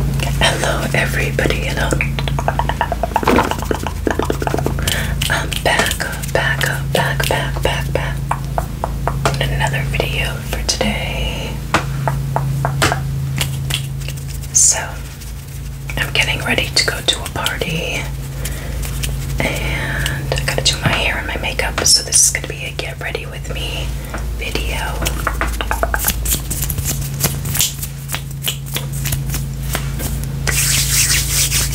Hello, everybody. I'm back, back, back, back, back, back. Another video for today. So, I'm getting ready to go to a party, and I gotta do my hair and my makeup. So, this is gonna be a get ready with me video.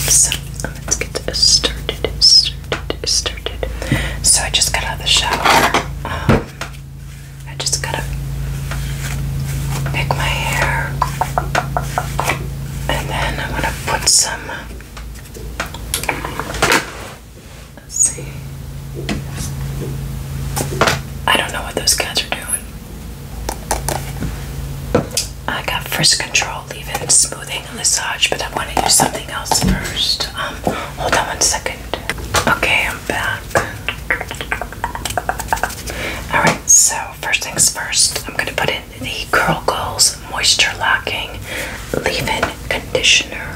So let's get started, started, started. So I just got out of the shower. Um, I just gotta pick my hair, and then I'm gonna put some Let's see. I don't know what those guys are doing. I got first control, even smoothing and massage, but I want to do something else first. Um, hold on one second. Okay, I'm back. Alright, so first things first, I'm going to put in the Curl Goals Moisture Locking Leave-In Conditioner.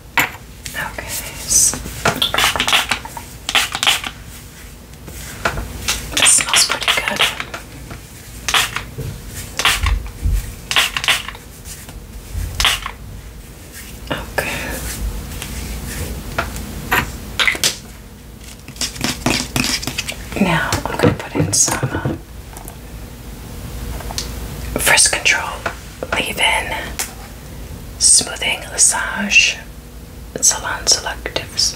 Okay. So. smells pretty good. Okay. Now I'm going to put in some uh, frisk control leave-in smoothing massage salon selectives.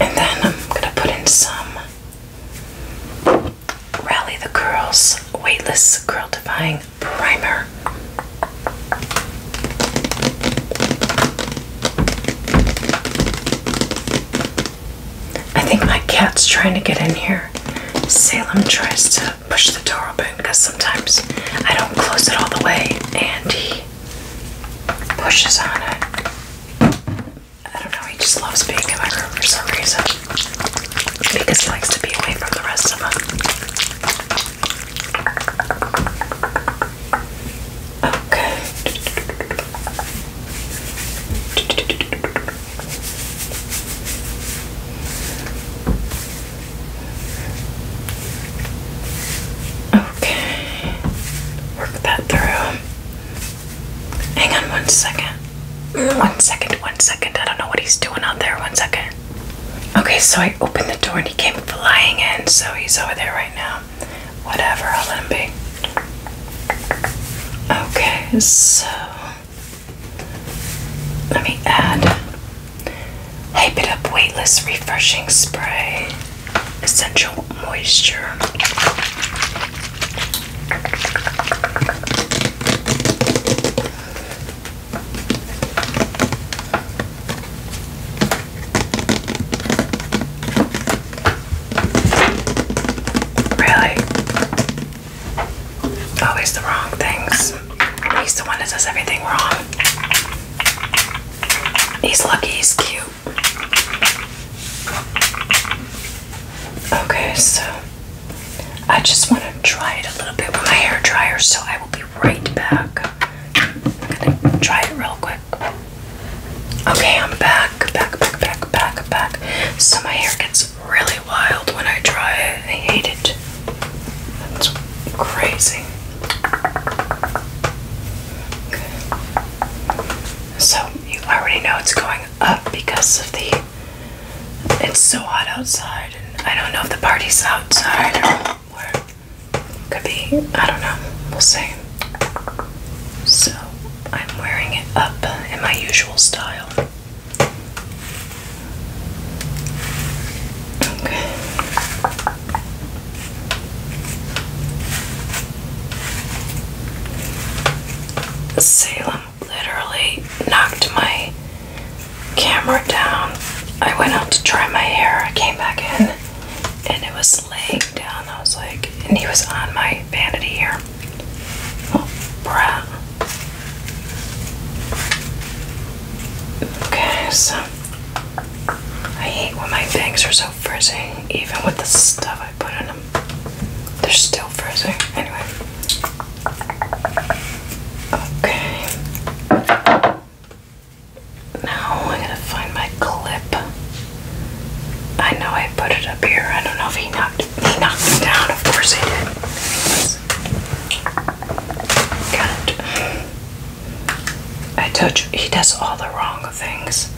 And then I'm going to put in some Rally the Curls Weightless Curl Defying Primer. I think my cat's trying to get in here. Salem tries to push the door open because sometimes I don't close it all the way and he pushes on it. I don't know, he just loves being in my room for some reason because he likes to be away from the rest of them. Okay. Okay, work that through. Hang on one second. One second, one second. I don't know what he's doing out there. One second. Okay, so I opened the door and he came flying in, so he's over there right now. Whatever, I'll let him be. Okay, so let me add Hype It Up Weightless Refreshing Spray Essential Moisture. Really? Always oh, the wrong things. He's the one that does everything wrong. He's lucky he's cute. Okay, so I just want to dry it a little bit with my hair dryer, so I will be right back. gonna dry it real quick. Okay, I'm back, back, back, back, back, back. So my hair gets tastes really wild when I try it. I hate it. It's crazy. So you already know it's going up because of the. It's so hot outside, and I don't know if the party's outside or where. Could be. I don't know. We'll see. So I'm wearing it up in my usual style. Salem literally knocked my camera down. I went out to dry my hair. I came back in and it was laying down. I was like, and he was on my vanity here. Oh, bruh. Okay, so I hate when my bangs are so frizzy, even with the stuff I put in them. They're still frizzy. Anyway. Okay. Now I gotta find my clip. I know I put it up here. I don't know if he knocked he knocked me down, of course he did this. Can't. I touch. He does all the wrong things.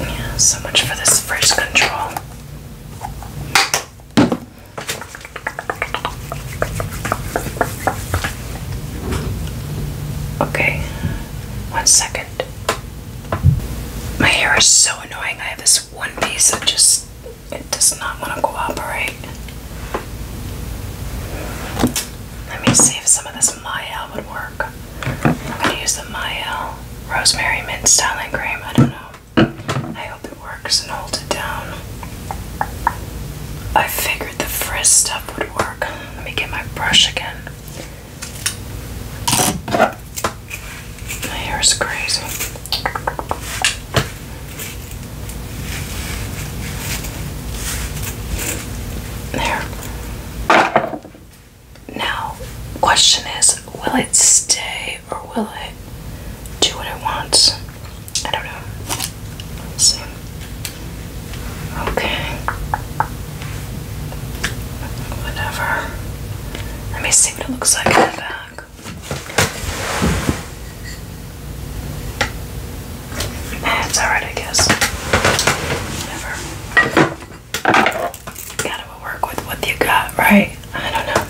Yeah, so much for this first control. Okay, one second. My hair is so annoying. I have this one piece that just it does not want to cooperate. Let me see if some of this Miel would work. I'm gonna use the Miel Rosemary Mint Styling Cream. I don't know. I hope it works and hold it down. I figured the frizz stuff would work. Let me get my brush again. My hair is crazy. There. Now, question is, will it stay or will it do what it wants? I don't know. see. Okay. Whatever. Let me see what it looks like in the back. Eh, it's alright, I guess. Whatever. Gotta work with what you got, right? I don't know.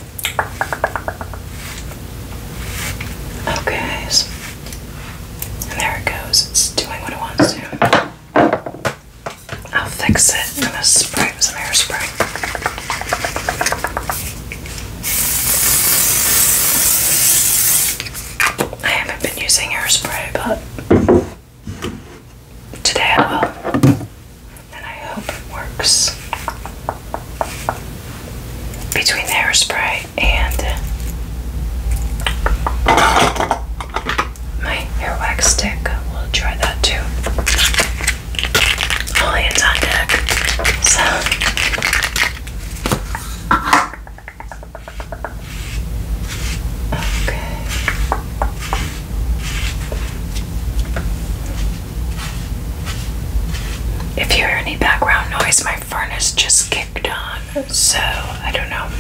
Okay. there it goes. It's doing what it wants to. I'll fix it. I'm going to spray with some hairspray. I haven't been using hairspray, but today I will. And I hope it works. Between hairspray and my hair wax stick. We'll try that too. All hands on deck. So okay. If you hear any background noise, my furnace just kicked on, so I don't know.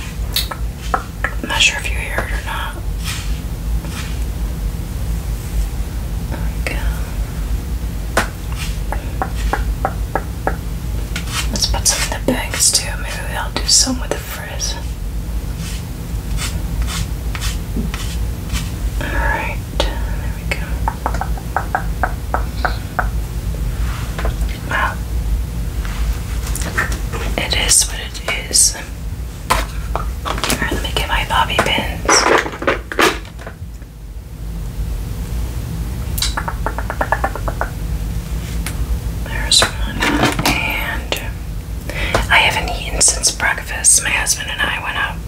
I'm not sure if you hear it or not. There we go. Let's put some in the bags too. Maybe I'll do some with the frizz. Alright, there we go. Well, it is what it is. Alright, let me get my bobby pins. There's one. And I haven't eaten since breakfast. My husband and I went out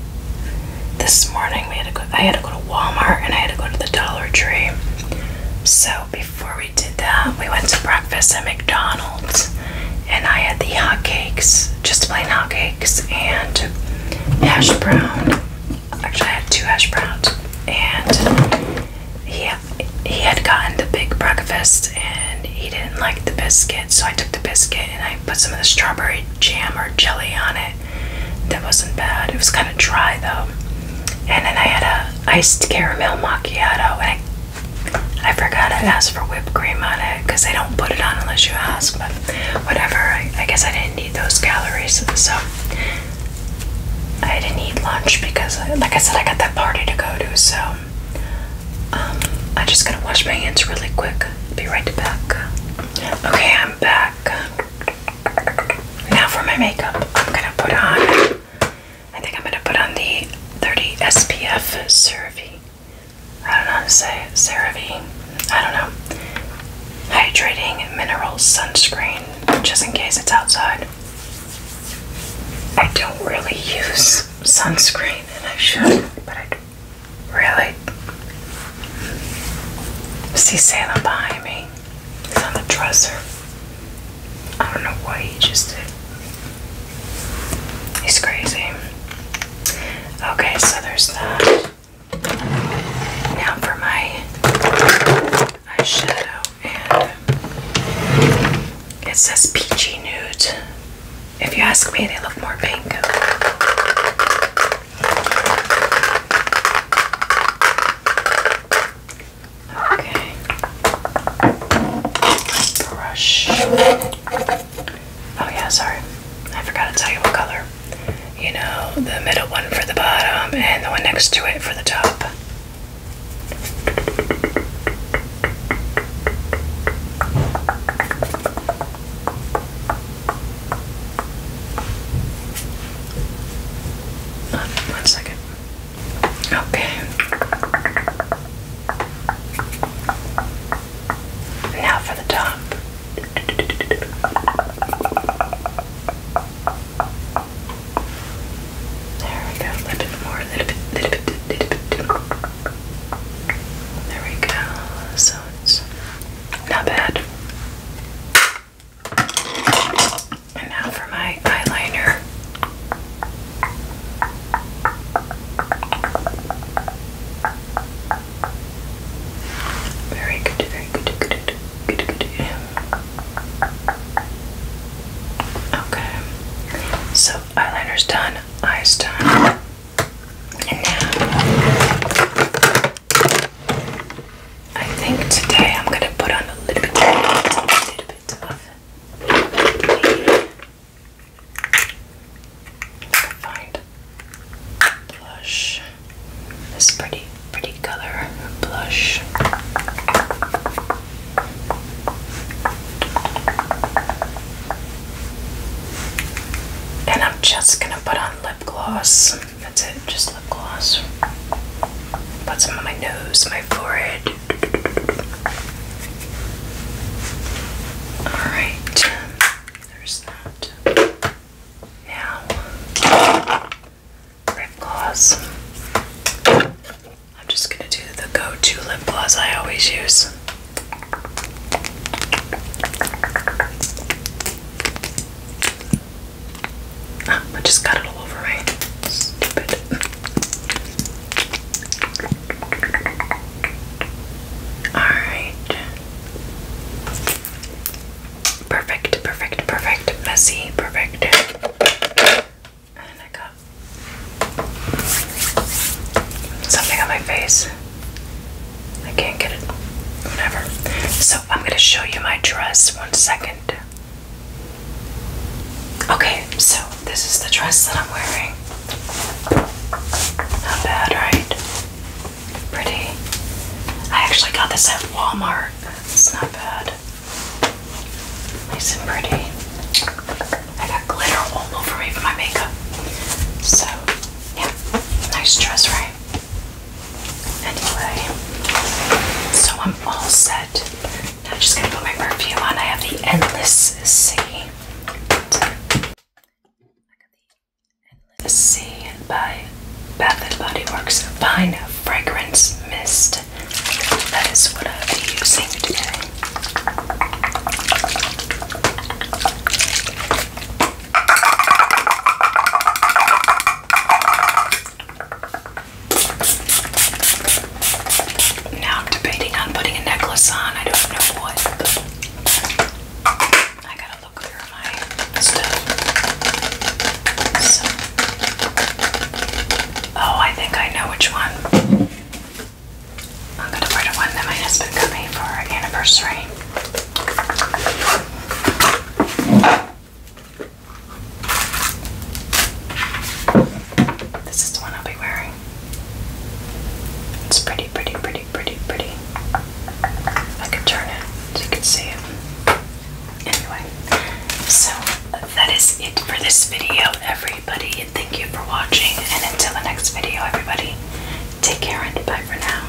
this morning. We had to go I had to go to Walmart and I had to go to the Dollar Tree. So before we we did that. We went to breakfast at McDonald's and I had the hot cakes, just plain hot cakes, and hash brown. Actually, I had two hash browns. And he, he had gotten the big breakfast and he didn't like the biscuit, so I took the biscuit and I put some of the strawberry jam or jelly on it. That wasn't bad. It was kind of dry though. And then I had a iced caramel macchiato, I, I forgot to ask for whipped cream on it because they don't put it on unless you ask. But whatever, I, guess I didn't need those calories, so I didn't eat lunch because, like I said, I got that party to go to. So I'm um, just gonna wash my hands really quick. Be right back. Okay, I'm back. Now for my makeup, I'm gonna put on. I think I'm going to put on the 30 SPF CeraVe. I don't know how to say it. CeraVe. I don't know. Hydrating mineral sunscreen, just in case it's outside. I don't really use sunscreen, and I should, but I don't really. See Santa behind me. It's on the dresser. I don't know why he just did. He's crazy. Okay, so there's that. Now for my eyeshadow, and it says peachy nude. If you ask me, they look more pink. Okay. Brush. Oh yeah, sorry. I forgot to tell you what color. You know, the middle one for the bottom and the one next to it for the top. Um, one second. Okay. Now for the top. There we go. A little bit more, a little bit, a little bit, There we go. So it's not bad. And now for my eyeliner. Very good, very good, good, good, good, good. Okay. So eyeliner's done, eyes done. And now I think today I'm gonna put on a little bit, a little bit of blush. This pretty, pretty color blush. And I'm just gonna put on lip gloss. That's it, just lip gloss. Put some on my nose, my forehead. Alright, there's that. Now, lip gloss. I'm just gonna do the go to lip gloss I always use. Ah, I just got it all over my stupid. Alright. Perfect, perfect, perfect. Messy, perfect. And I got something on my face. I can't get it. Whatever. So I'm gonna show you my dress one second. Okay, so this is the dress that I'm wearing. Not bad, right? Pretty. I actually got this at Walmart. It's not bad. Nice and pretty. I got glitter all over me my makeup. So, yeah, nice dress, right? Anyway, so I'm all set. I'm just gonna put my perfume on. I have the Endless Sea. Endless Sea by Bath and Body Works Fine Fragrance Mist. That is what i am using today. Now I'm debating on putting a necklace on. I don't know what. I gotta look through my stuff. Oh, I think I know which one. I'm gonna order one that my husband got me for our anniversary. This is the one I'll be wearing. It's pretty, pretty, pretty, pretty, pretty. I could turn it so you could see it. Anyway, so that is it for this video, everybody. Thank you for watching, and until the next video, everybody, take care and bye for now.